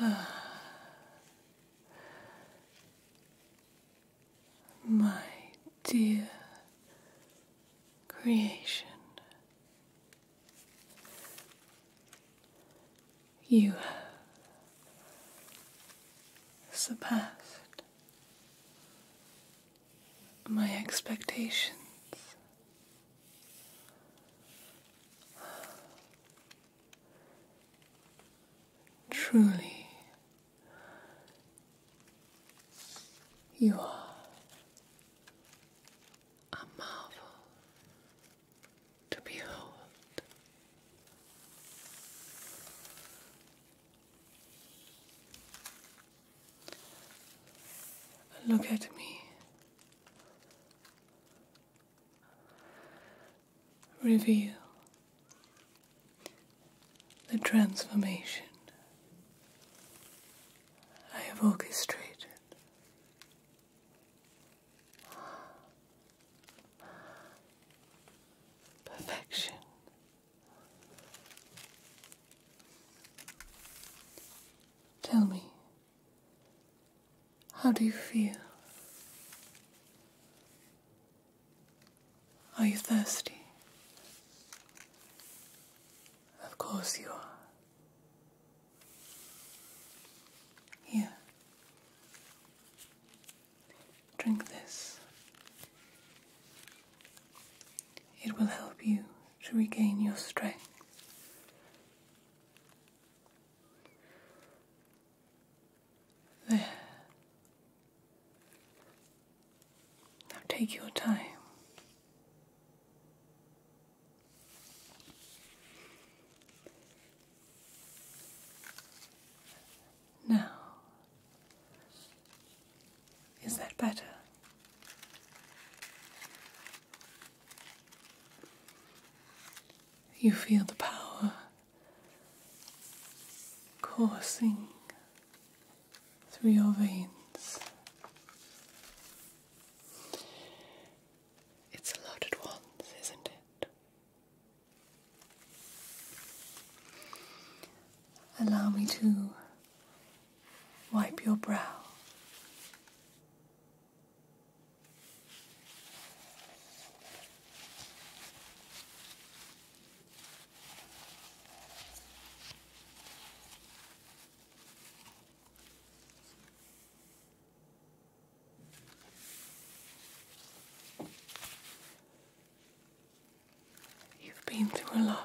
My dear creation, you have surpassed my expectations. Truly, you are a marvel to behold. Look at me, reveal the transformation I have orchestrated perfection. Tell me, how do you feel? Are you thirsty? Of course you are. Here. Drink this. It will help you to regain your strength. There. Now take your time. Now, is that better? You feel the power coursing through your veins. It's a lot at once, isn't it? Allow me to wipe your brow. You've been through a lot.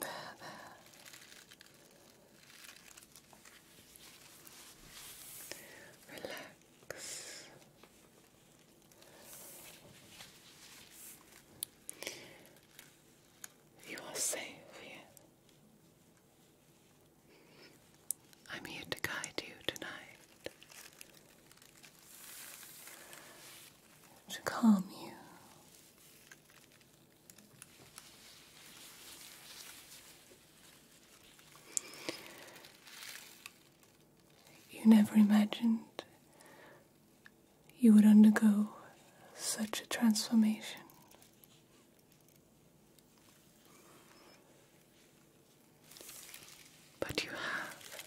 There, Relax. You are safe here. I'm here to guide you tonight, to calm you. You never imagined you would undergo such a transformation. But you have,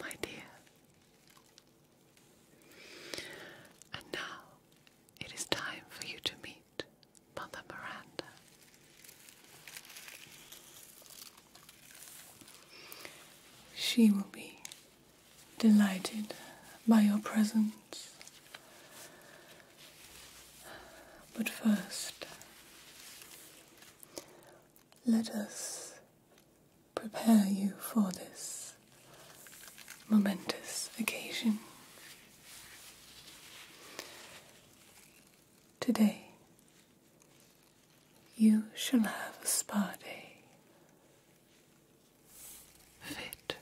my dear. And now it is time for you to meet Mother Miranda. She will be delighted by your presence. But first, let us prepare you for this momentous occasion. Today, you shall have a spa day fit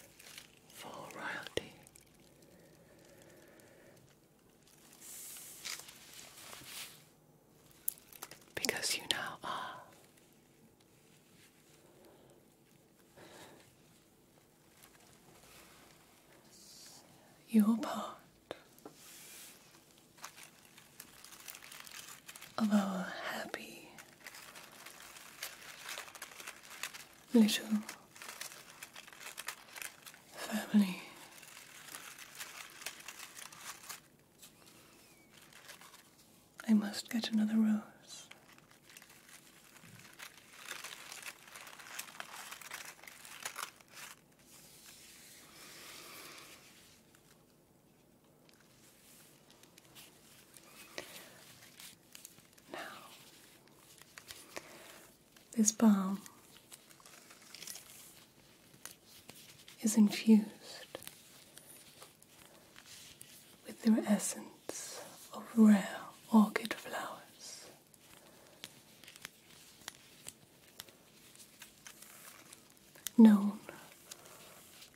for royalty. Because you now are your part of our happy little family. I must get another rose. Now, this balm is infused with the essence of rare orchid flowers. Known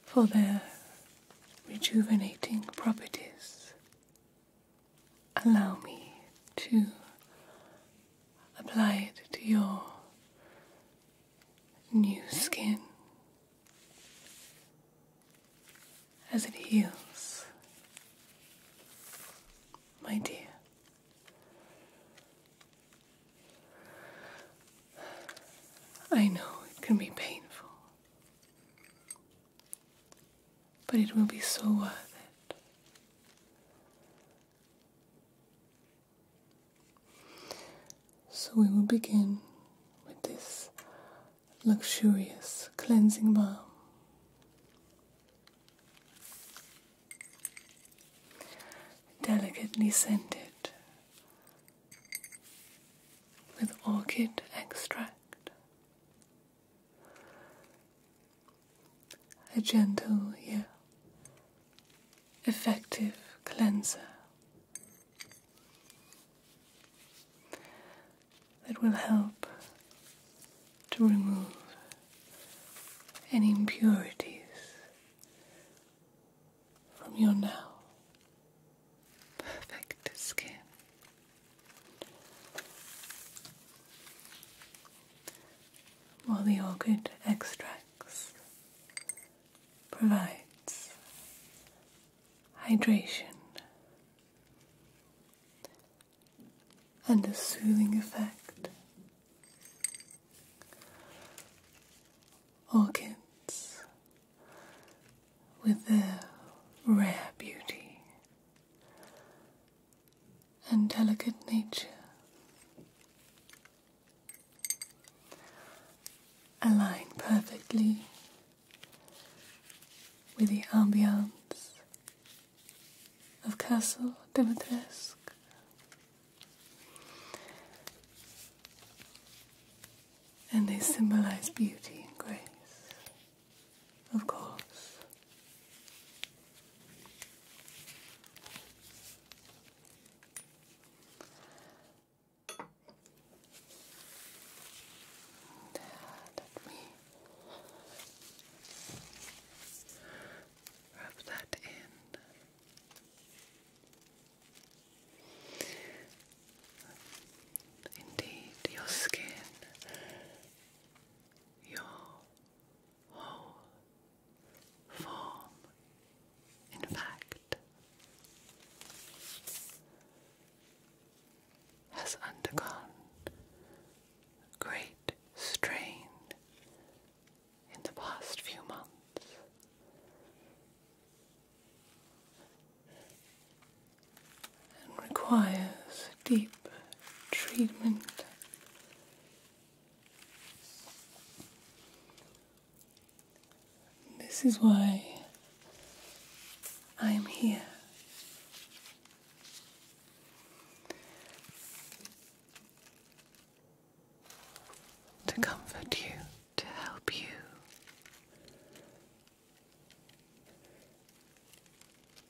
for their rejuvenating properties allow me to apply it to your new skin as it heals, my dear. I know it can be painful. But it will be so worth it. So we will begin with this luxurious cleansing balm. Delicately scented with orchid extract. A gentle yet effective cleanser that will help to remove any impurities from your now perfect skin. While the orchid extracts provides hydration and a soothing effect. Orchids with their rare beauty and delicate nature. Align perfectly with the ambiance of Castle Dimitrescu and they symbolize beauty and grace, of course. let me rub that in. Indeed, your skin, your whole form, in fact, has undergone great strain in the past few months and requires deep treatment. This is why I am here. To comfort you, to help you,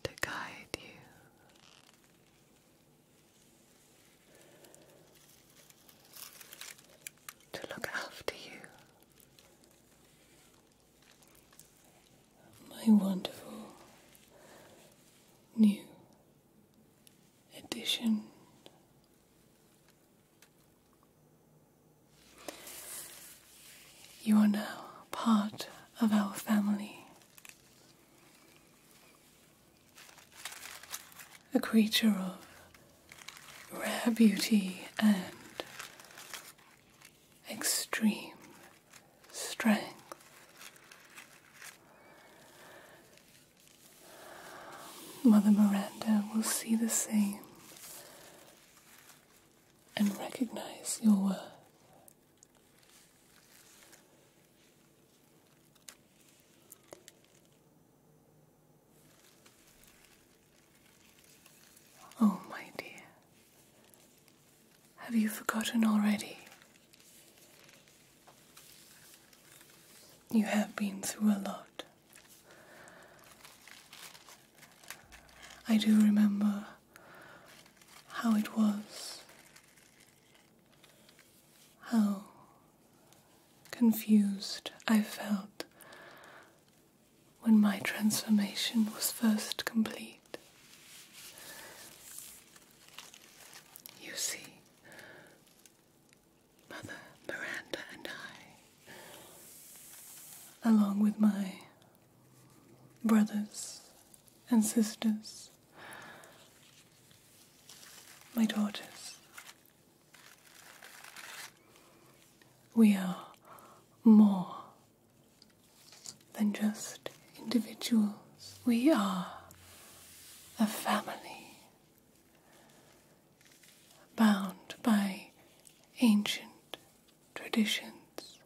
to guide you. To look after you, my wonderful new edition you are now part of our family. A creature of rare beauty and extreme strength. Mother Miranda will see the same and recognize your worth. Oh, my dear, have you forgotten already? You have been through a lot. I do remember how it was, how confused I felt when my transformation was first complete. You see, Mother Miranda and I, along with my brothers and sisters, my daughters. We are more than just individuals, we are a family bound by ancient traditions,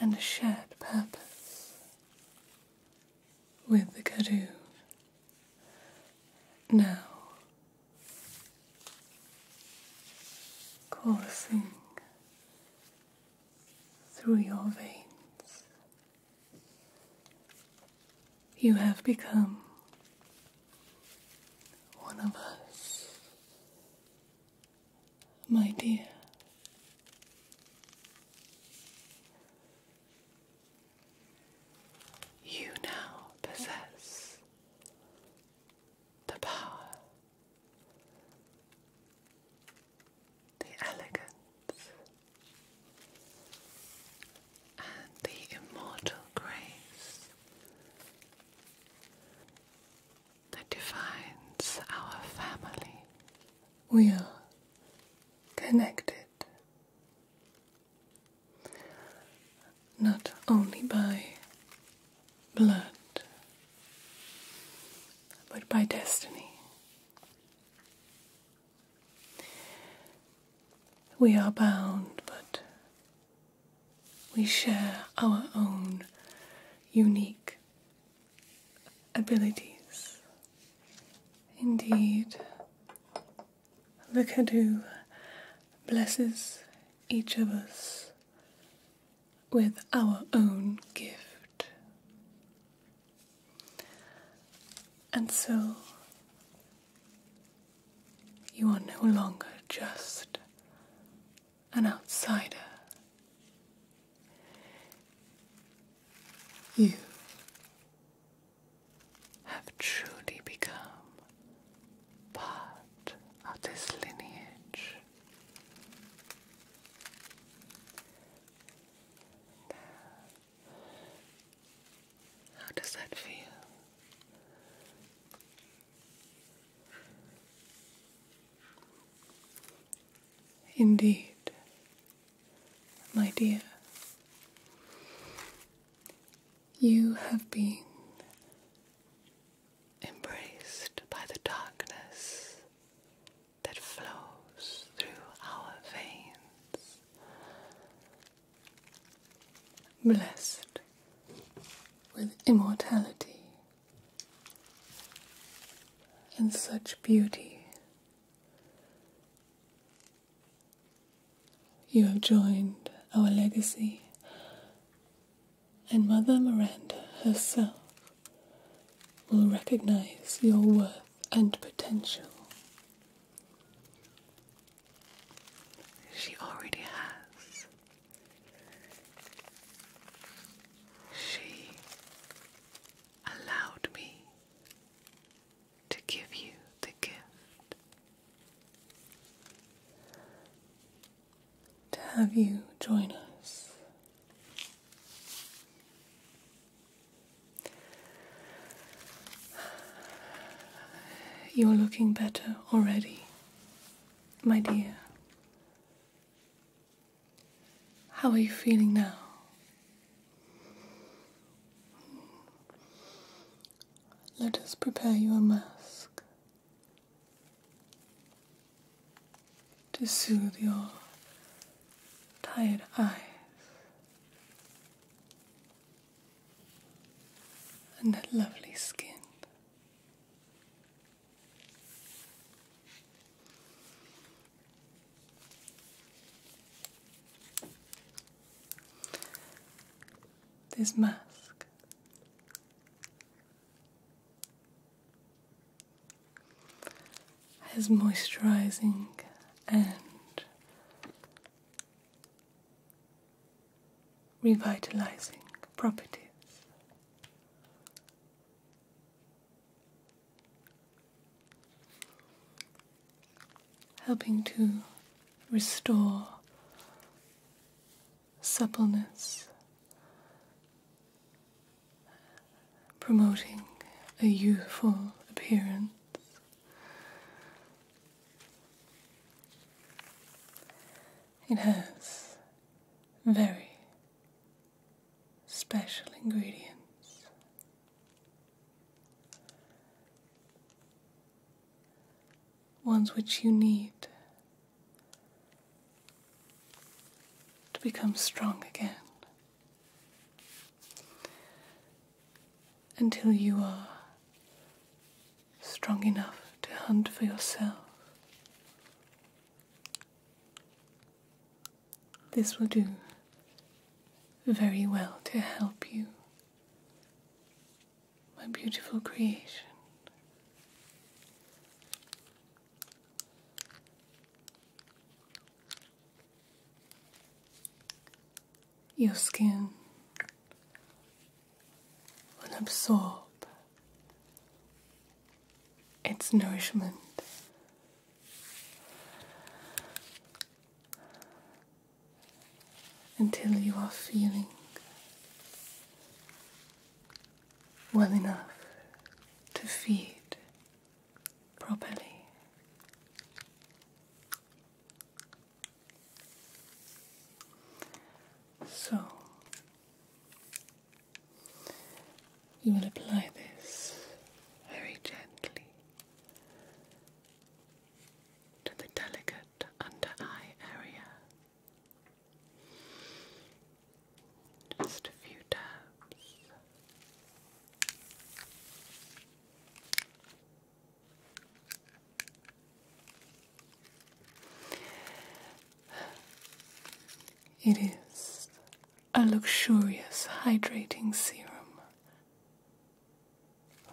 and a shared purpose with the Kadu. Now, coursing through your veins, you have become one of us, my dear. You now possess the power, the elegance, and the immortal grace that defines our family. We are connected not only by blood, but by destiny. We are bound, but we share our own unique abilities. Indeed, the Kadu blesses each of us with our own gift. And so, you are no longer just an outsider. You have truly become part of this lineage. how does that feel? Indeed, my dear, you have been embraced by the darkness that flows through our veins. Blessed with immortality in such beauty. You have joined our legacy and Mother Miranda herself will recognize your worth and potential. She already has. She allowed me to give you the gift to have you join us. You're looking better already, my dear. How are you feeling now? Let us prepare you a mask to soothe your tired eyes and that lovely skin. This mask has moisturizing and revitalizing properties. Helping to restore suppleness, promoting a youthful appearance. It has very special ingredients. Ones which you need to become strong again. Until you are strong enough to hunt for yourself this will do very well to help you, my beautiful creation. Your skin will absorb its nourishment. Until you are feeling well enough to feed properly. So, you will apply this very gently to the delicate under eye area. Just a few taps. It is a luxurious hydrating serum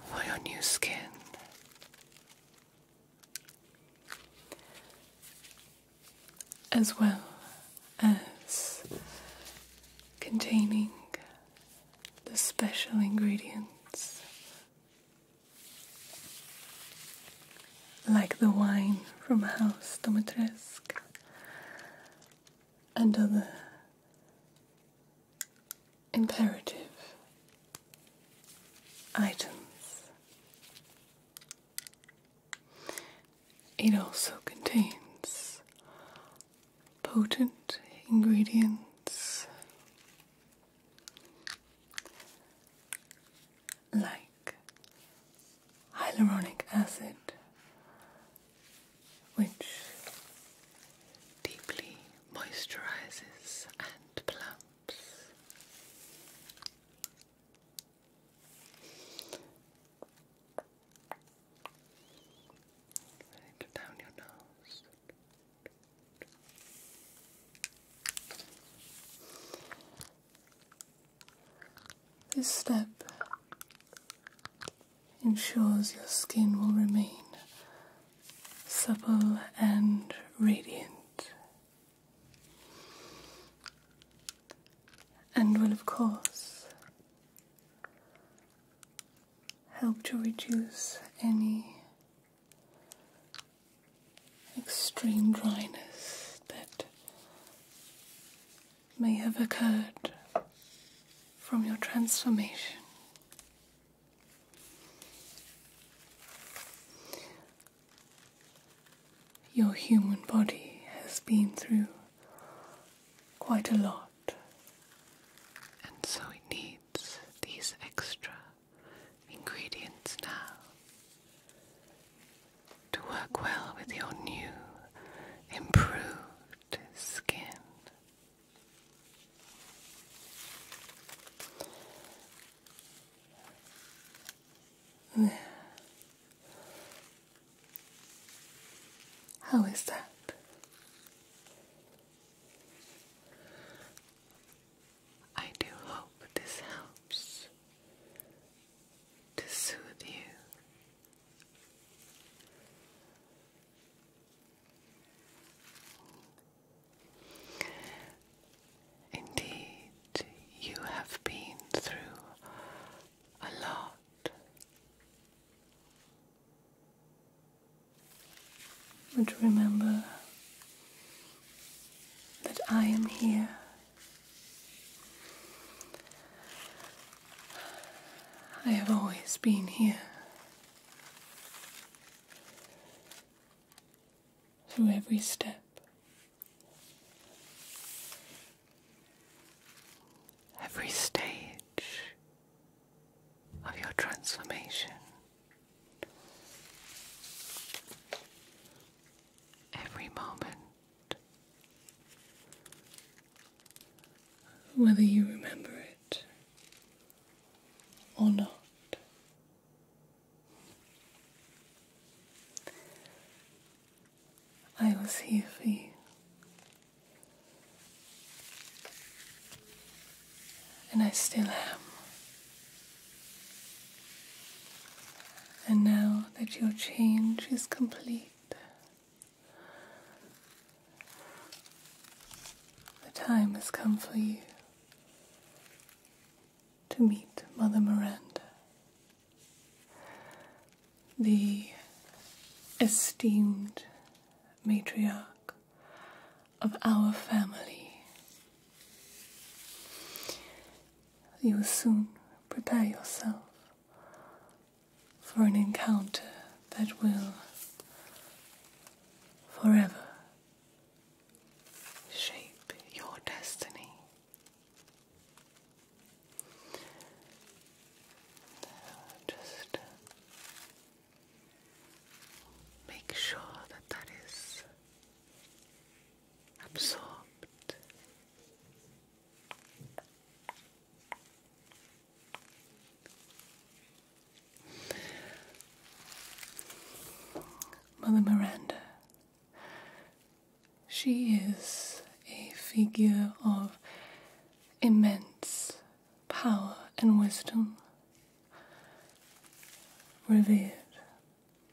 for your new skin. As well as containing the special ingredients like the wine from House Domitrescu and other imperative items. It also contains potent ingredients like hyaluronic acid, which deeply moisturizes and plumps. Down your nose. This step ensures your skin will remain supple and radiant, and will, of course, help to reduce any extreme dryness that may have occurred from your transformation. Your human body has been through quite a lot. And so it needs these extra ingredients now to work well with your new, improved skin. How is that? I do hope this helps to soothe you. Indeed, you have been through a lot. But remember that I am here I have always been here. Through every step, every stage of your transformation, every moment whether you remember it or not. I was here for you. And I still am. And now that your change is complete, the time has come for you to meet Mother Miranda, the esteemed matriarch of our family. You will soon prepare yourself for an encounter that will forever shape your destiny. Just make sure that that is absorbed Mother Miranda. She is a figure of immense power and wisdom, revered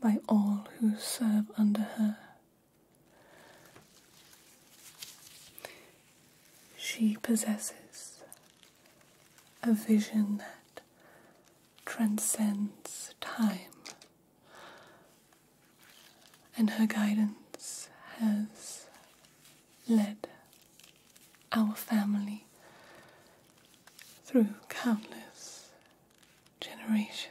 by all who serve under her. She possesses a vision that transcends time, and her guidance has led our family through countless generations.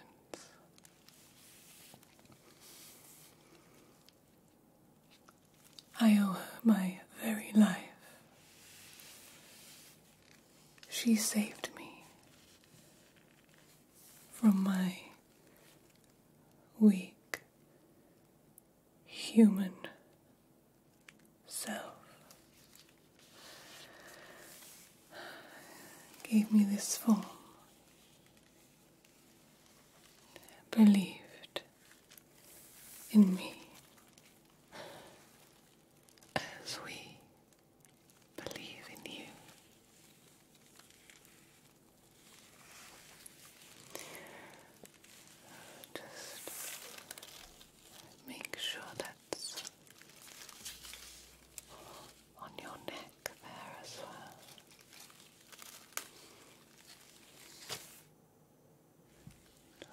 I owe her my very life. She saved me from my weak human self. Gave me this form believed in me as we believe in you. Just make sure that's on your neck there as well.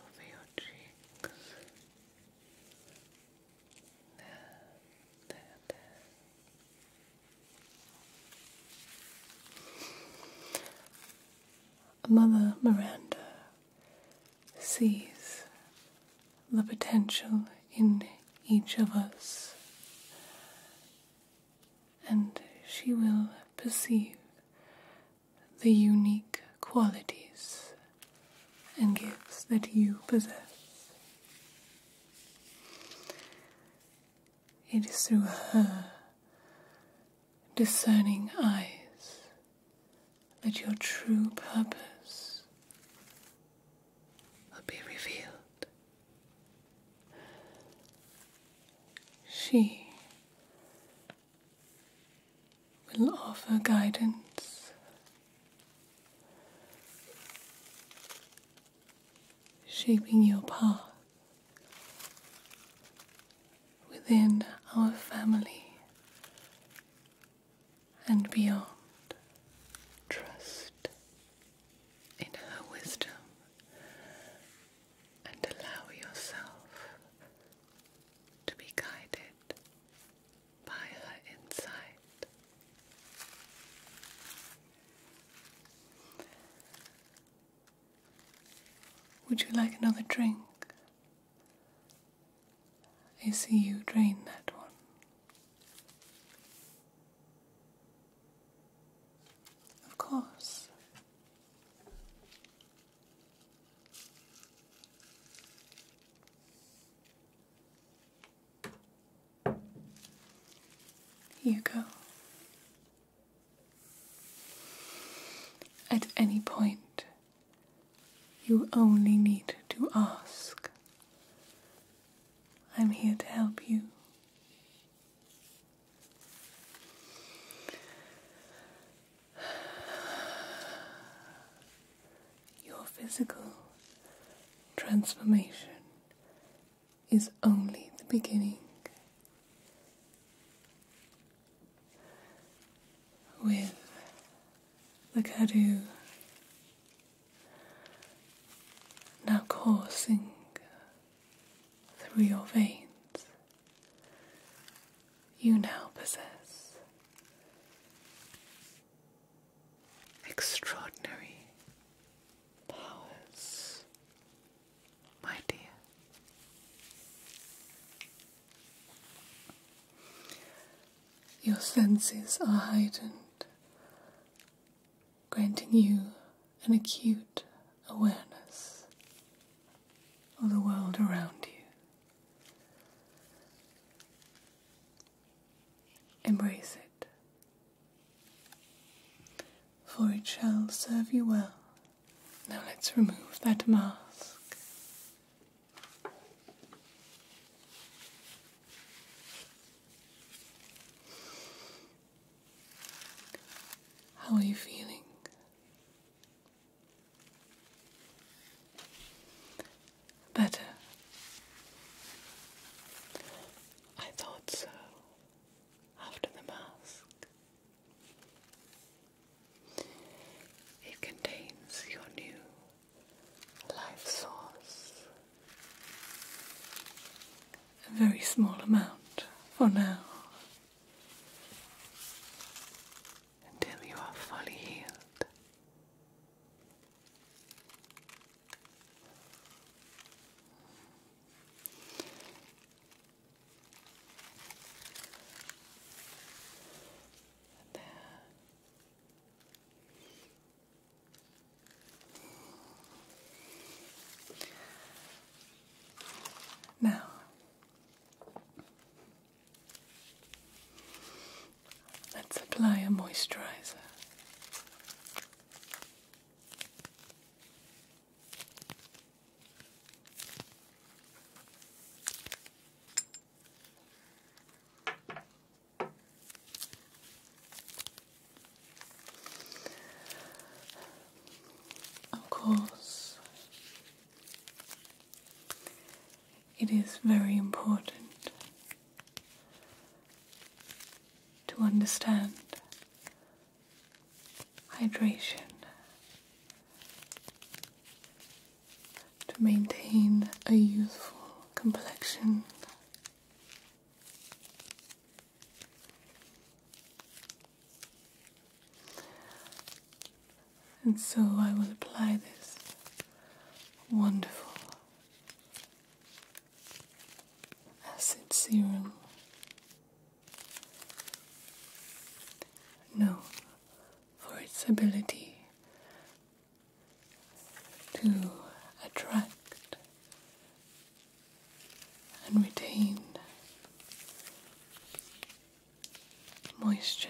Over your cheeks. There, there, there. Mother Miranda sees the potential in each of us, and she will perceive the unique qualities and gifts that you possess. It is through her discerning eyes that your true purpose will be revealed. She will offer guidance. Shaping your path within our family and beyond. Trust in her wisdom and allow yourself to be guided by her insight. Would you like another drink? I see you drain that one. Of course. Here you go. At any point, you only need to ask. I'm here to help you your physical transformation is only the beginning. With the Kadu now coursing through your veins. You now possess extraordinary powers, my dear. Your senses are heightened granting you an acute awareness of the world around you. Embrace it, for it shall serve you well. Now let's remove that mask. How are you feeling? Better. I thought so after the mask. It contains your new life source a very small amount for now until you are fully healed. There. Now, let's apply a moisturizer. Of course, it is very important to understand hydration. To maintain a youthful complexion, and so I will apply this wonderful acid serum. No, for its ability to attract and retain moisture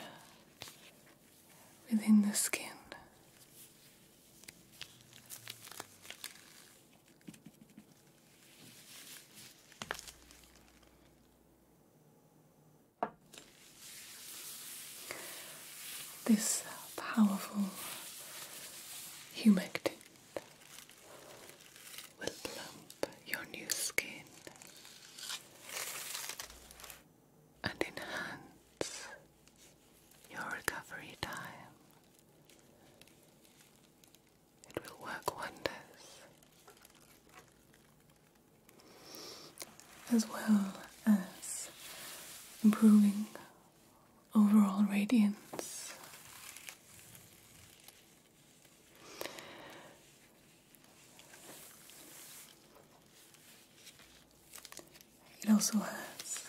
within the skin. This powerful humectant will plump your new skin and enhance your recovery time. It will work wonders. As well as improving overall radiance. It also has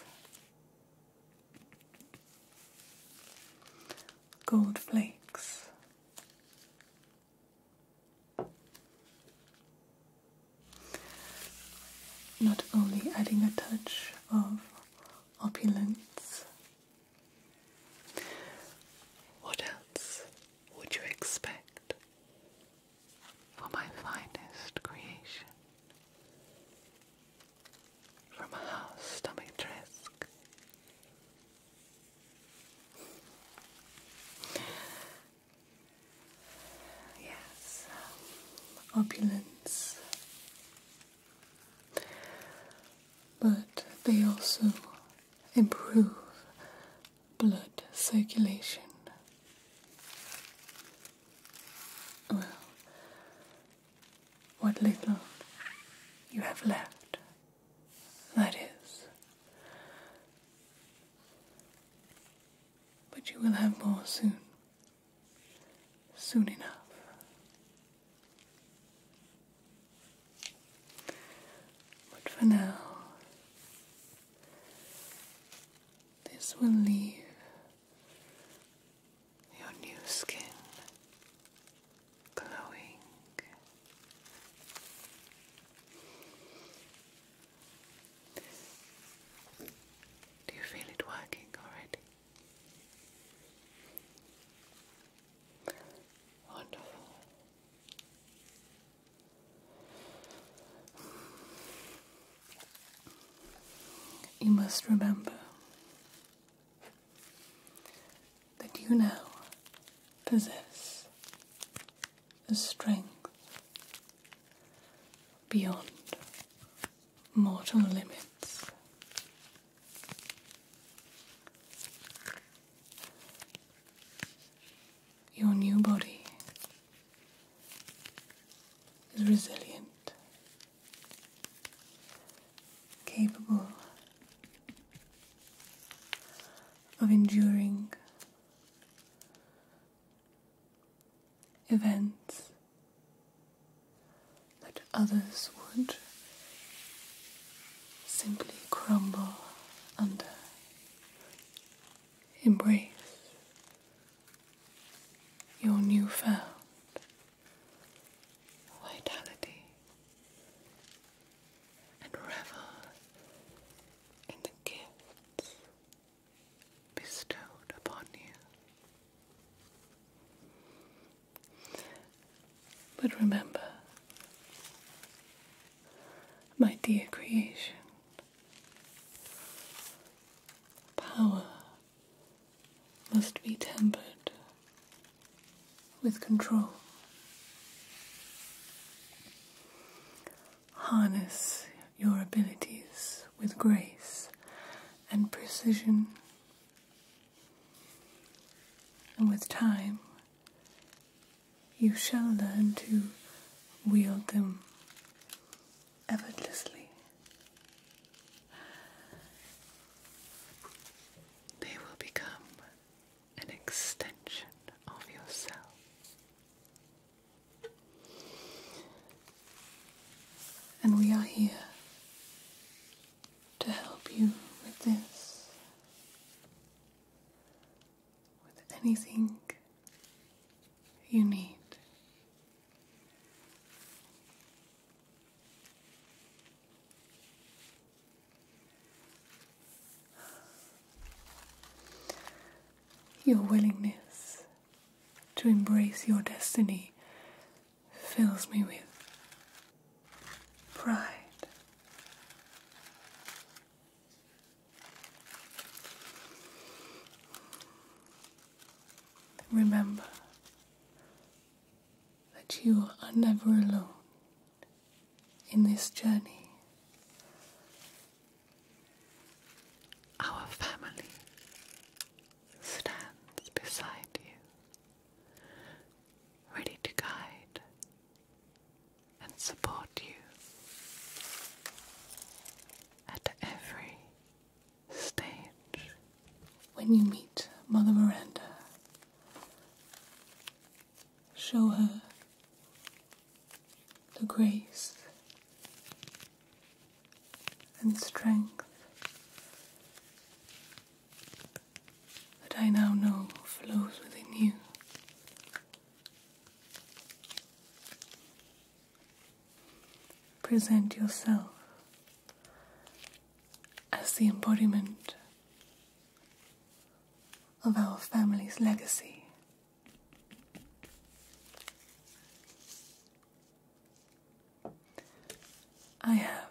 gold flakes. Not only adding a touch of opulence what else would you expect for my finest creation? From a house stomach tresk. Yes, um, opulence but they also improve blood circulation. Well, what little you have left, that is. But you will have more soon, soon enough. But for now, this will leave your new skin glowing. Do you feel it working already? Wonderful. You must remember that you now possess a strength beyond mortal limits. Your new body is resilient, capable of enduring events that others would simply crumble under. Embrace your newfound vitality and revel in the gifts bestowed upon you. But remember, my dear creation, power must be tempered with control. Harness your abilities with grace and precision and with time, you shall learn to wield them effortlessly. They will become an extension of yourself. And we are here to help you with this, with anything you need. Your willingness to embrace your destiny fills me with pride. Remember that you are never alone in this journey. Our family stands beside you ready to guide and support you at every stage. When you meet Mother Miranda, show her the grace and strength that I now know flows within you. Present yourself as the embodiment of our family's legacy. I have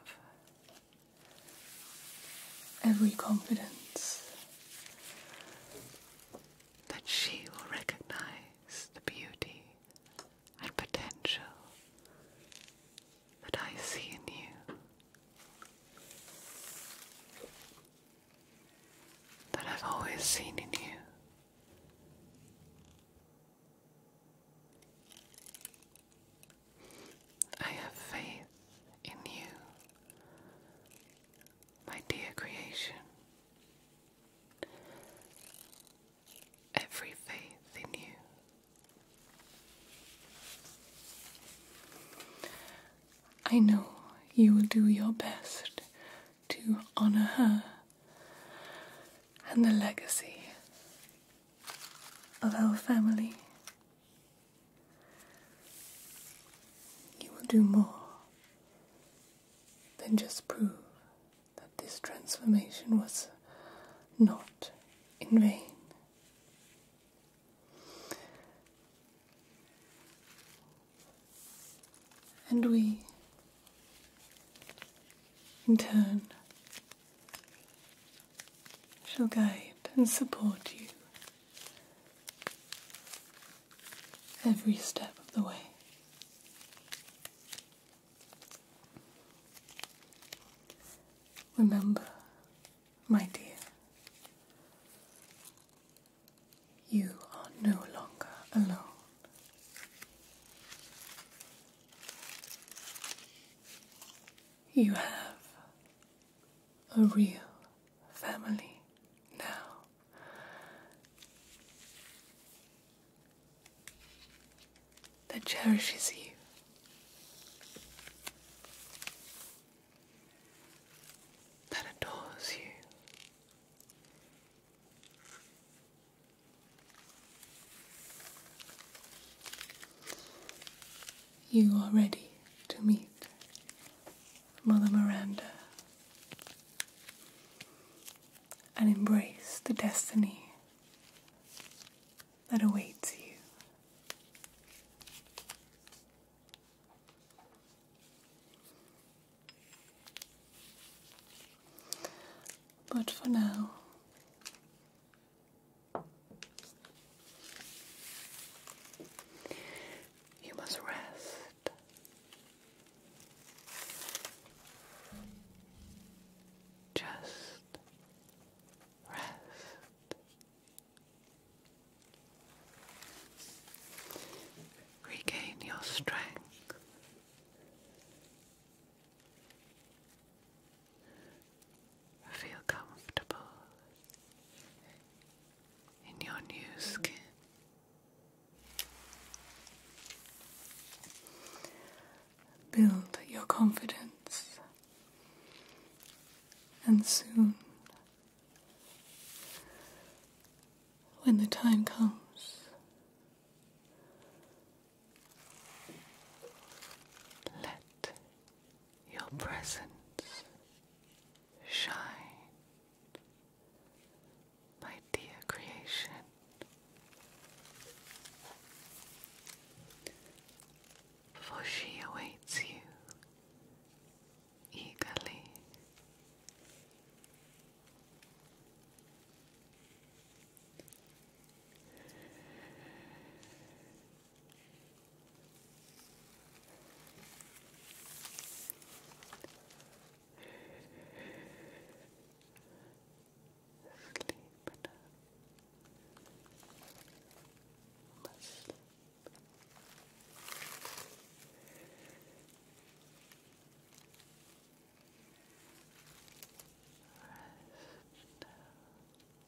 every confidence that she will recognize the beauty and potential that I see in you. That I've always seen in you. I have faith in you, my dear creation. Every faith in you. I know you will do your best to honor her and the legacy of our family you will do more than just prove that this transformation was not in vain. And we, in turn, shall guide and support you every step of the way. Remember, my dear, you are no longer alone. You have a real family now. That cherishes you. That adores you. You are ready to meet Mother Miranda and embrace the destiny that awaits you. But for now, you must rest. Just rest. Regain your strength. Feel comfortable in your new skin. Build your confidence, and soon, when the time comes, let your presence shine, my dear creation. For she awaits you eagerly. Sleep enough. Must sleep. Rest now.